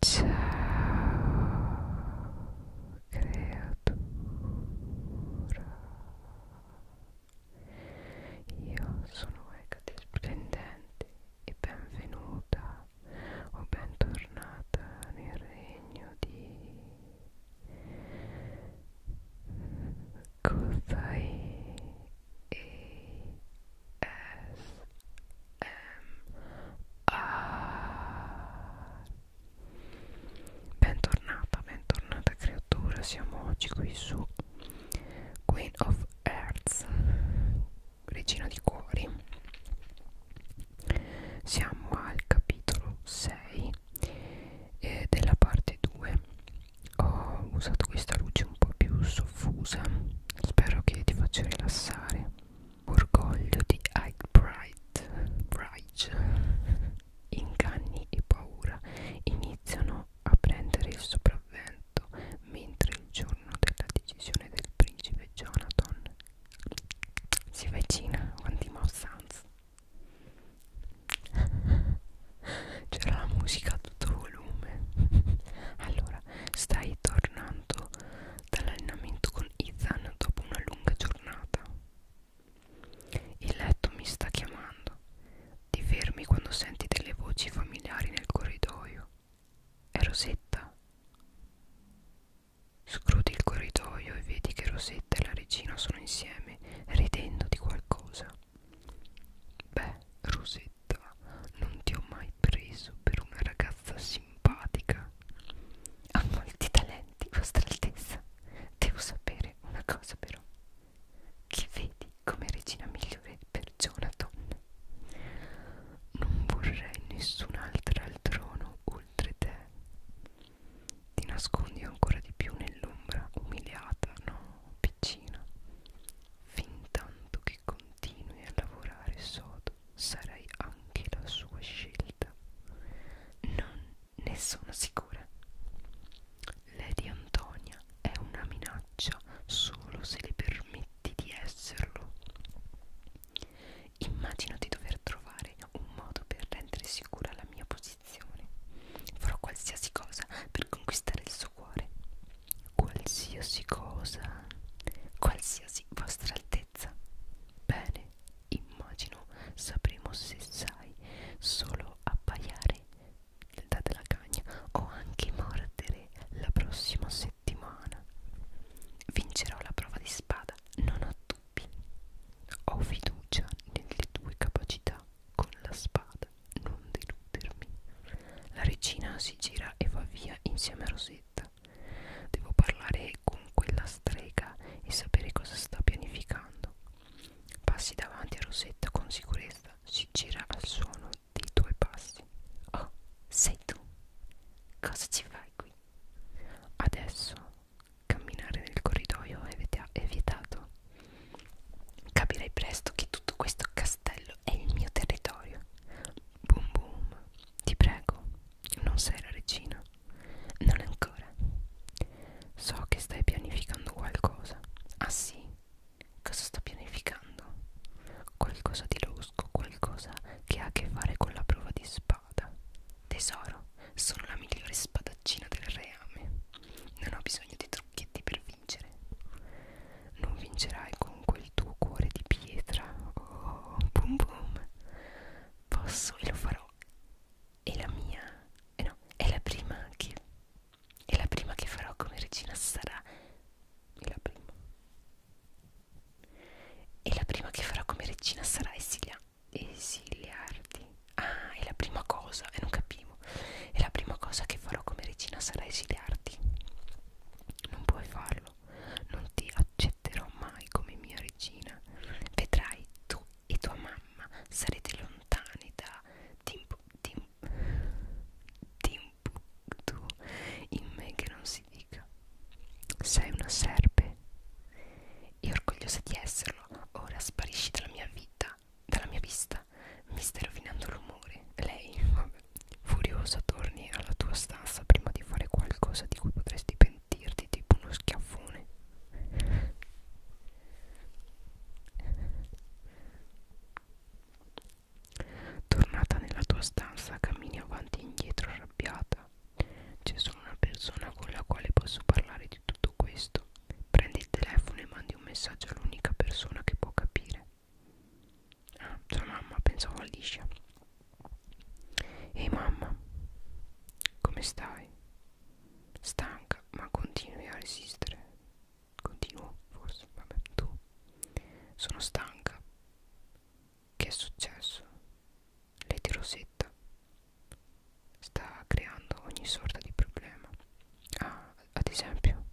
Ciao creatura Io sono Ecate Splendente e benvenuta o bentornata nel regno di Cosai e Bentornata, bentornata creatura, siamo oggi qui su Queen of Hearts, regina di cuori. Siamo al capitolo 6 eh, della parte 2. Ho usato questa luce un po' più soffusa, spero che ti faccia rilassare. Orgoglio di Ike Bright, Bright. Inganni e paura iniziano a prendere il sopravvento mentre il giorno della decisione del principe Jonathan si avvicina quanti Mouse Sans c'era la musica a tutto volume allora stai tornando tanto dall'allenamento con Ethan dopo una lunga giornata. Il letto mi sta chiamando. Ti fermi quando senti delle voci familiari nel corridoio. È Rosetta. Scrudi il corridoio e vedi che Rosetta e la regina sono insieme, ridendo di qualcosa. Beh, Rosetta verità non ti ho mai preso per una ragazza simpatica ha molti talenti vostra altezza devo sapere una cosa però che vedi come regina migliore per Jonathan non vorrei nessun'altra al trono oltre te ti nascondi ancora di più nell'ombra umiliata no piccina fin tanto che che continui a lavorare sodo sarai anche la sua scelta. Non ne sono sicura. Lady Antonia è una minaccia solo se le permetti di esserlo. Immagino di dover trovare un modo per rendere sicura la mia posizione. Farò qualsiasi cosa per conquistare il suo cuore qualsiasi cosa, qualsiasi vostra altezza. Bene, immagino sapremo se sai solo appaiare, date la cagna, o anche mordere la prossima settimana. Vincerò la prova di spada, non ho dubbi. Ho fiducia nelle tue capacità con la spada non deludermi. La regina si gira e va via insieme a Rosetta. Devo parlare con quella strega e sapere cosa sta pianificando. Passi davanti a Rosetta con sicurezza, si gira al suono dei tuoi passi. Oh, sei tu. Cosa ci fai qui? Adesso camminare nel corridoio è vietato. Capirai presto che tutto questo casino castello è il mio territorio. Boom boom, ti prego, non sei la regina. Non ancora. So che stai pianificando qualcosa. Ah sì? Cosa sto pianificando? Qualcosa di losco, qualcosa che ha a che fare con la prova di spada. Tesoro, sono la migliore spadaccina del reame. Non ho bisogno di trucchetti per vincere non vincerai con quel tuo cuore di pietra oh, boom boom posso e lo farò è la mia eh no è la prima che è la prima che farò come regina sarà è la prima e la prima che farò come regina sarà esilia, esiliarti. Ah, è la prima cosa, e eh, non capivo proviamo e la prima cosa che farò come regina sarà esiliarti non puoi farlo non ti accetterò mai come mia regina vedrai tu e tua mamma sarete lontani da Timbu Tim, Timbuktu in me che non si dica sei una serpe e orgogliosa di esserlo ora sparisci dalla mia vita dalla mia vista Giulia mi stai rovinando l'umore lei vabbè, furiosa torni alla tua stanza prima di fare qualcosa di cui potresti pentirti tipo uno schiaffone tornata nella tua stanza cammini avanti e indietro arrabbiata c'è solo una persona con la quale posso parlare di tutto questo prendi il telefono e mandi un messaggio all'unica persona che può capire Ah, sua mamma, pensavo a Liscia. Ehi mamma, come stai? Stanca, ma continui a resistere. Continuo, forse, vabbè, tu. Sono stanca. Che è successo? L'eterosetta sta creando ogni sorta di problema. Ah, ad esempio,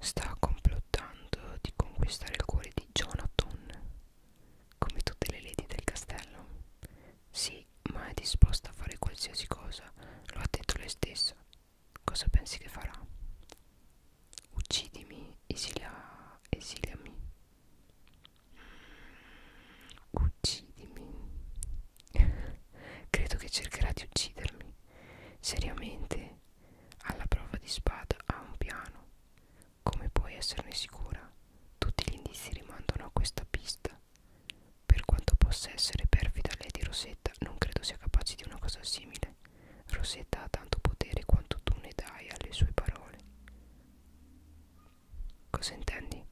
Sta complottando di conquistare il cuore di Jonathan, come tutte le lady del castello. Sì, ma è disposta a fare qualsiasi cosa, lo ha detto lei stessa. Cosa pensi che farà? Uccidimi, esilia, esiliami. Uccidimi. Credo che cercherà di uccidermi. Seriamente, alla prova di spada ha un piano. Come puoi esserne sicura? Tutti gli indizi rimandano a questa pista. Per quanto possa essere perfida lei di Rosetta, non credo sia capace di una cosa simile. Rosetta ha tanto potere quanto tu ne dai alle sue parole. Cosa intendi?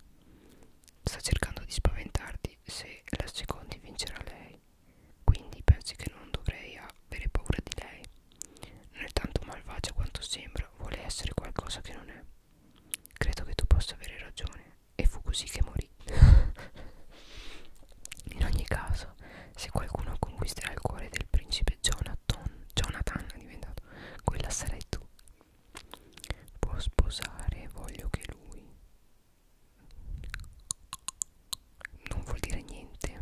Sta cercando di spaventarti domandi se la secondi vincerà lei quindi pensi che non dovrei avere paura di lei non è tanto malvagia quanto sembra vuole essere qualcosa che non è credo che tu possa avere ragione e fu così che morì in ogni caso se qualcuno conquisterà il cuore del principe Jonathan Jonathan è diventato quella sarai tu può sposare voglio che lui non vuol dire niente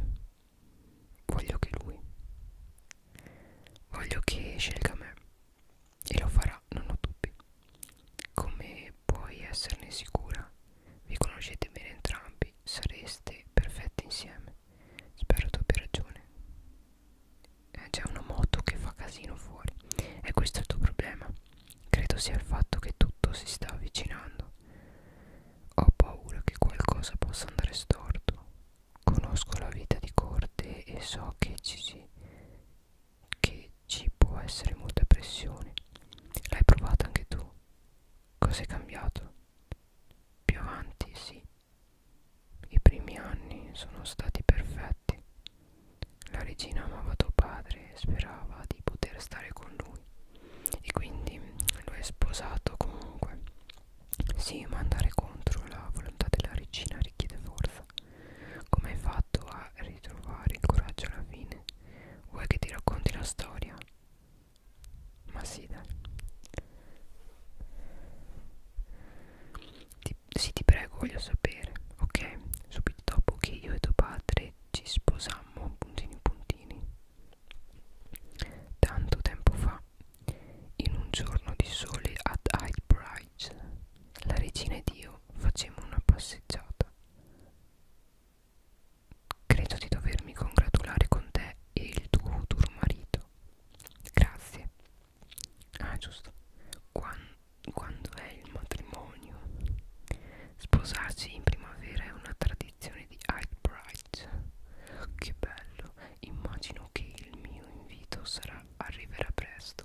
voglio che lui voglio che scelga me e lo farà non ho dubbi come puoi esserne sicura vi conoscete bene entrambi sareste perfetti insieme spero tu abbia ragione c'è una moto che fa casino fuori e questo è il tuo problema Credo sia il fatto che tutto si sta avvicinando. Ho paura che qualcosa possa andare storto. Conosco la vita di corte e so che ci, si, che ci può essere molta pressione. L'hai provata anche tu? Cos'è cambiato? Più avanti, sì. I primi anni sono stati perfetti. La regina amava tuo padre e sperava di poter stare con lui e quindi lo è sposato comunque. Sì, ma andare contro la volontà della regina richiede forza. Come hai fatto a ritrovare il coraggio alla fine? Vuoi che ti racconti la storia? Ma sì, dai. Ti sì ti prego voglio sapere ok subito dopo che io e tuo padre ci sposammo puntini puntini tanto tempo fa in un giorno di sole ad Hyde Bridge la regina ed io facemmo una passeggiata credo di dovermi congratulare con te e il tuo futuro marito grazie Ah giusto Quando, quando è il matrimonio Sposarsi in primavera è una tradizione di Hyde Bright Che bello Immagino che il mio invito sarà, arriverà presto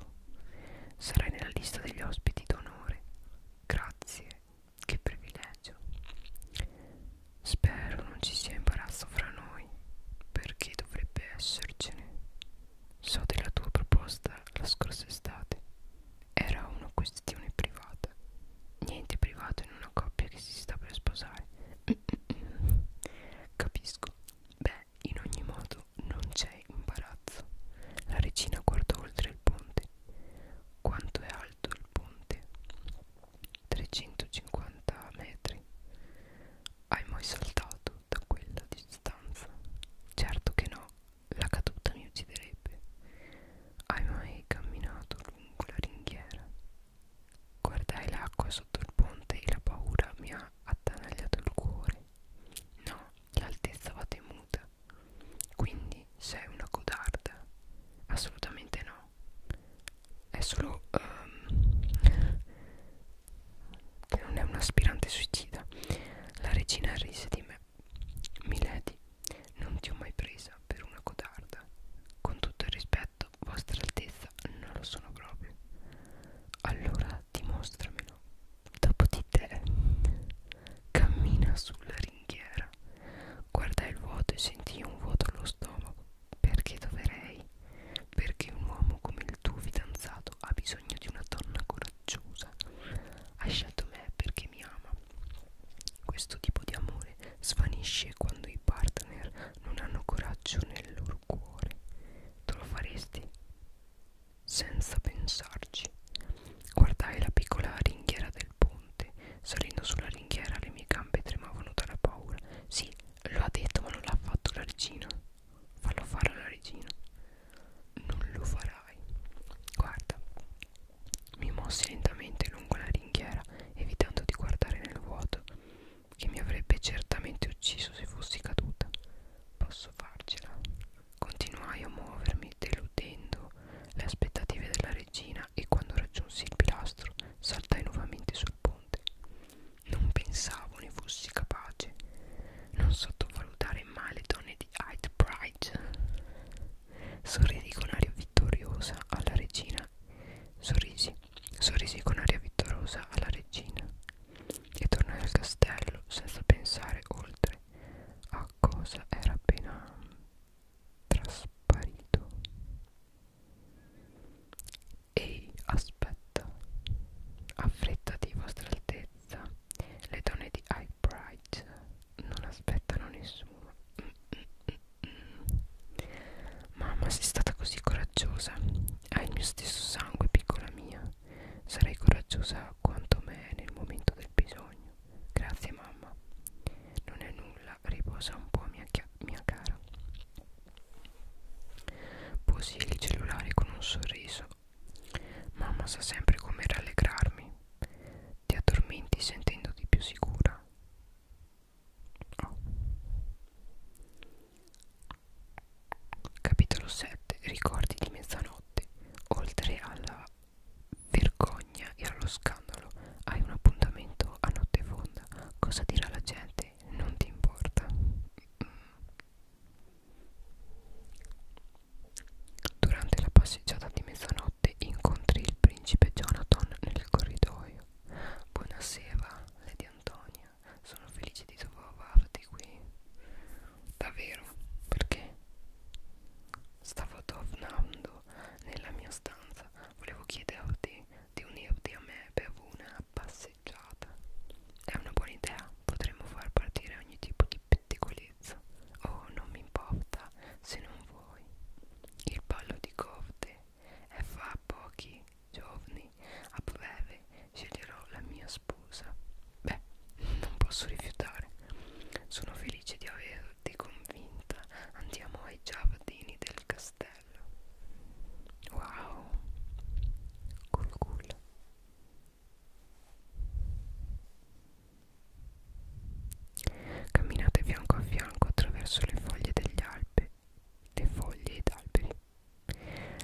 Sarai nella lista degli ospiti d'onore Grazie Che privilegio Spero non ci sia imbarazzo fra noi Perché dovrebbe essercene So della tua proposta la scorsa estate. Era una questione privata. Niente privato in una coppia che si sta per sposare. Capisco. Beh, in ogni modo non c'è imbarazzo. La regina guardò oltre il ponte. Quanto è alto il ponte? 350 metri. Hai mai saltato? da quella distanza certo che no la caduta mi ucciderebbe hai mai camminato lungo la ringhiera guardai l'acqua sotto il ponte e la paura mi ha attanagliato il cuore no l'altezza va temuta quindi sei una codarda assolutamente no è solo um, che non è un aspirante suicida. La regina rise di me. Milady, non ti ho mai presa per una codarda. Con tutto il rispetto, vostra altezza, non lo sono proprio. Allora dimostramelo. Dopo di te. Cammina sulla ringhiera. Guardai il vuoto e sentii un vuoto allo stomaco. Perché dovrei perché un uomo come il tuo fidanzato ha bisogno di una donna coraggiosa. Ha scelto me perché mi ama. Questo tipo di amore svanisce quando i partner non hanno coraggio nel loro cuore. Te lo faresti? Senza pensarci. Guardai la piccola ringhiera del ponte. Salendo sulla ringhiera le mie gambe tremavano dalla paura. Sì, lo ha detto ma non l'ha fatto la regina. Fallo fare alla regina. Non lo farai. Guarda. Mi mossi lentamente lungo la ringhiera, evitando di guardare nel vuoto, che mi avrebbe certamente ucciso se fossi caduta. Posso farcela. Continuai a muovermi, deludendo le aspettative della regina, e quando raggiunsi il pilastro, saltai nuovamente sul ponte. Non pensavo ne fossi capace. Non sottovalutare mai le donne di Hyde Pride. Sorrisi con aria vittoriosa alla regina. Sorrisi, sorrisi con aria vittoriosa alla regina. E tornai al castello senza pensare oltre a cosa era appena trasparito. Ehi, aspetta, affrettati vostra altezza, le donne di High Bright non aspettano nessuno. Mm, mm, mm, mm. Mamma, sei stata così coraggiosa, hai il mio stesso sangue, piccola mia, sarai coraggiosa quanto me nel momento del bisogno. Grazie mamma, non è nulla, riposa un po' mia, mia cara. Posii il cellulare con un sorriso. Mamma sa sempre come rallegrarmi. Ti addormenti sentendoti più sicura. Oh. Capitolo 7. Ricordi di mezzanotte. Oltre alla vergogna e allo scandalo, hai un appuntamento a notte fonda. Cosa dirà la gente? te non ti importa durante la passeggiata di mezzanotte incontri il principe Jonathan nel corridoio buonasera Lady Antonia sono felice di trovarti qui davvero perché stavo tornando nella mia stanza volevo chiederti di unirti a me per una passeggiata. È una buona idea, potremmo far partire ogni tipo di pettegolezza. Oh, non mi importa se non vuoi. Il ballo di corte è fra pochi giorni. A breve sceglierò la mia sposa. Beh, non posso rifiutare. Sono felice di averti convinta. Andiamo ai giardini del castello bello wow cool cool camminate fianco a fianco attraverso le foglie degli alberi le foglie ed alberi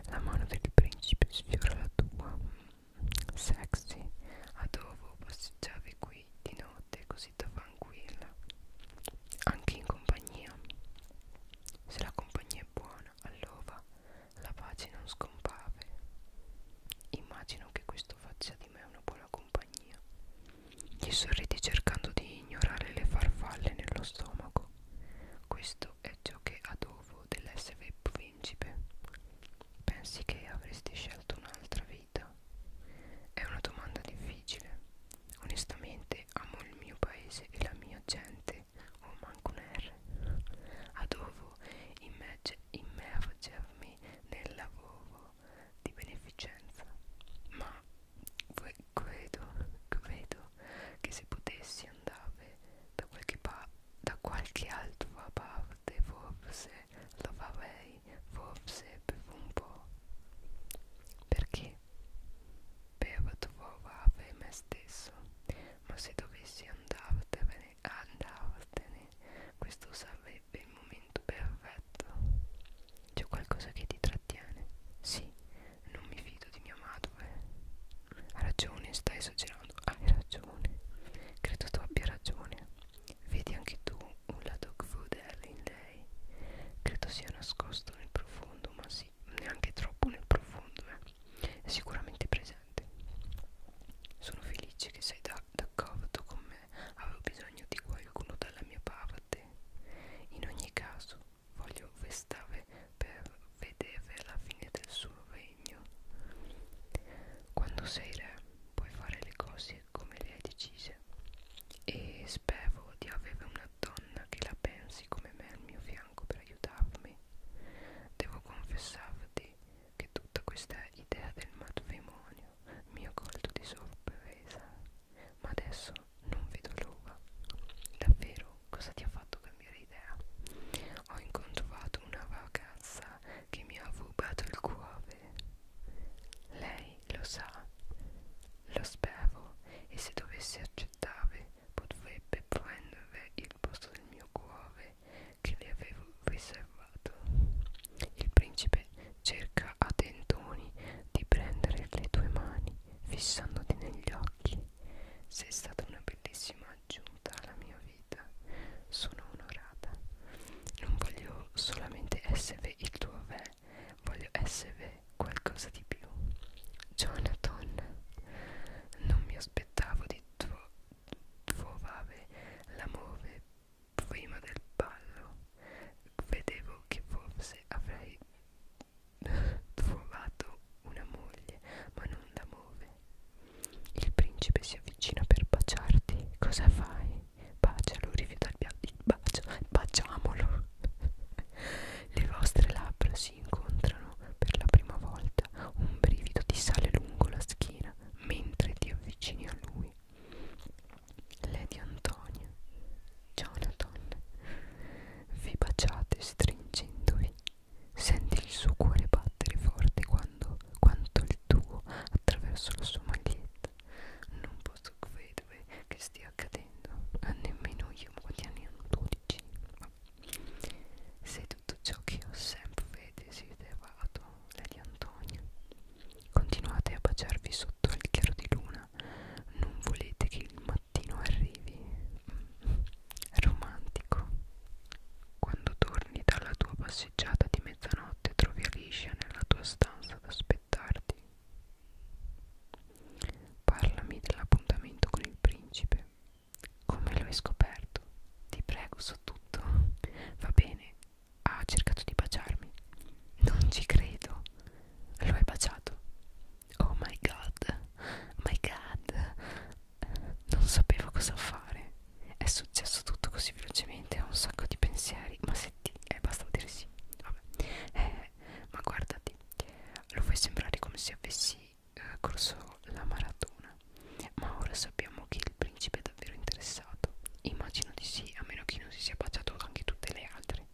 la mano del principe sfiora la tua mm, sexy a dopo passeggiavi qui di notte così sita tranquilla anche in compagnia se la compagnia è buona allora la pace non scompare immagino che questo faccia di me una buona compagnia gli sorridi cercando di ignorare le farfalle nello stomaco questo è ciò che adovo dell'essere principe pensi che avresti scelto un'altra vita è una domanda difficile Onestamente amo il mio paese e la mia gente O oh, manco un R Adovo immergermi nel lavoro di beneficenza Ma credo, credo che se potessi andare da qualche, da qualche altra parte Forse lo farei, forse per un po' Perché? perturbare me stesso, ma se dovessi andartene, andartene, questo sarebbe il momento perfetto. C'è qualcosa che ti trattiene? Sì, non mi fido di mia madre. Ha ragione, stai esagerando. Hai ragione. Credo tu abbia ragione. Vedi anche tu un lato food è in lei credo sia nascosto nel profondo ma sì neanche troppo nel profondo eh. è sicuramente presente sono felice che sei da, d'accordo con me avevo bisogno di qualcuno dalla mia parte in ogni caso voglio vestare per vedere la fine del suo regno quando sei re puoi fare le cose come le hai decise e spero di avere una donna che la pensi come me al mio fianco per aiutarmi. Devo confessarti che tutta questa idea del matrimonio mi ha colto di sorpresa, ma adesso non vedo l'ora. Davvero, cosa ti ha fatto cambiare idea? Ho incontrato una ragazza che mi ha rubato il cuore sapere. Lei lo sa, lo spero e se dovesse accettare potrebbe prendere il posto del mio cuore che le avevo riservato. Il principe cerca a tentoni di prendere le tue mani fissandoti negli occhi. Sei stata una bellissima aggiunta alla mia vita. Sono onorata. Non voglio solamente essere il tuo re, voglio essere qualcosa di più. Jonathan, non mi aspettavo di tro trovare l'amore prima del ballo. Vedevo che forse avrei trovato una moglie, ma non l'amore. Il principe si avvicina per baciarti. Cosa fai? bacialo, rifiuta il piatto, bacio, baciamolo. Le vostre labbra si incontrano per la prima volta, un brivido ti sale lungo la schiena mentre ti avvicini a lui. Lady Antonia, Jonathan, vi baciate stringendovi, senti il suo cuore battere forte quando, quanto il tuo attraverso la sua maglietta non posso credere che stia accadendo, nemmeno io, quanti anni hanno 12, ma sei tutto ciò che ho sempre desiderato, Lady Antonia. Continuate a baciarvi sotto il chiaro di luna, non volete che il mattino arrivi. Mm. Romantico. Quando torni dalla tua passeggiata di mezzanotte trovi Alicia nella tua stanza ad aspettarti. Parlami dell'appuntamento con il principe. Come lo hai scoperto? Ti prego, so tutto. Va bene, ha cercato di baciarmi. Non ci credo. Lo hai baciato. Oh my god, my god. Non sapevo cosa fare. È successo tutto così velocemente, ho un sacco di pensieri, ma se sì, eh, bastava dire sì, vabbè, eh, ma guardati, lo fai sembrare come se avessi eh, corso la maratona, ma ora sappiamo che il principe è davvero interessato, immagino di sì, a meno che non si sia baciato anche tutte le altre.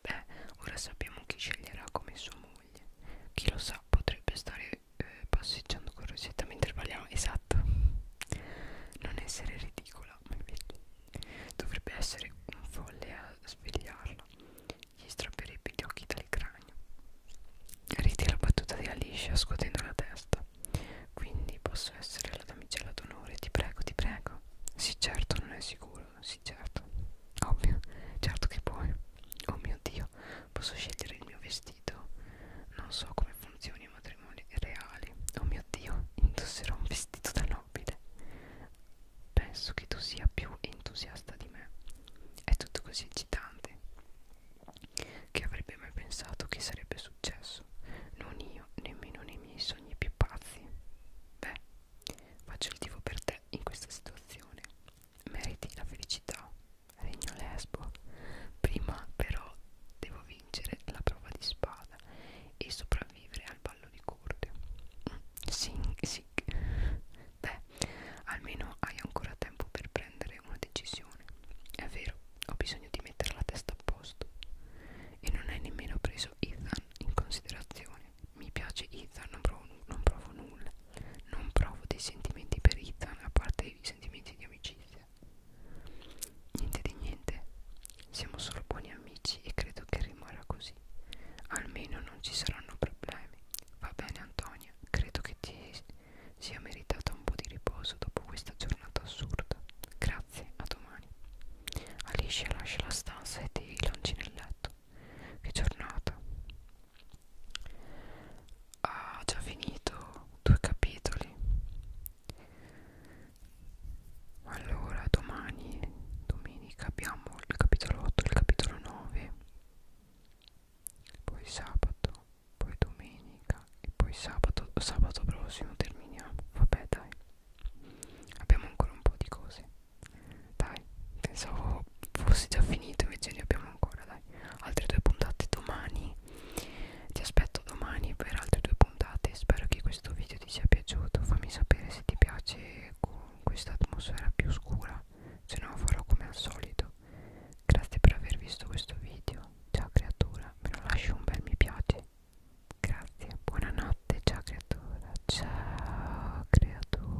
Beh, ora sappiamo chi sceglierà come sua moglie, chi lo sa potrebbe stare eh, eh, passeggiando con Rosetta mentre parliamo esatto non essere ridicola ma invece dovrebbe essere un folle a svegliarla gli strapperebbe gli occhi dal cranio ride la battuta di Alicia scuotendo la testa quindi posso essere la damigella d'onore ti prego ti prego sì certo non è sicuro sì certo ovvio certo che puoi oh mio dio Posso scegliere il mio vestito. Non so come funzioni i matrimoni reali. Oh mio Dio, indosserò un vestito da nobile. Penso che tu sia più entusiasta di me. È tutto così eccitante. Chi avrebbe mai pensato che sarebbe successo? Non io, nemmeno nei miei sogni più pazzi. Beh, faccio il tifo per te in questa situazione. Meriti la felicità. Regno Lesbo. Prima però devo vincere la prova di spada e sopravvivere al ballo di corte. Mm, sì, sì. Beh, almeno hai ancora tempo per prendere una decisione. È vero, ho bisogno di mettere la testa a posto. E non hai nemmeno preso Ethan in considerazione. Mi piace Ethan, non provo, non provo nulla. Non provo dei sentimenti per Ethan, a parte i sentimenti di amicizia. Niente di niente, siamo solo buoni amici e credo che rimarrà così. Almeno non ci saranno problemi. Va bene Antonia, credo che ti sia meritata un po' di riposo dopo questa giornata assurda. Grazie, a domani. Alicia lascia la stanza e ti lanci nel letto. Che giornata ha già finito due capitoli allora domani domenica abbiamo il capitolo 8 il capitolo 9 poi sabato poi domenica e poi sabato sabato prossimo terminiamo vabbè dai abbiamo ancora un po' di cose dai pensavo fosse già finito invece ne abbiamo ancora dai altre due puntate domani ti aspetto domani per altre due puntate. Spero che questo video ti sia piaciuto. Fammi sapere se ti piace con questa atmosfera più scura, se no farò come al solito. Grazie per aver visto questo video. Ciao creatura, me lo lasci un bel mi piace. Grazie, buonanotte, ciao creatura. Ciao creatura.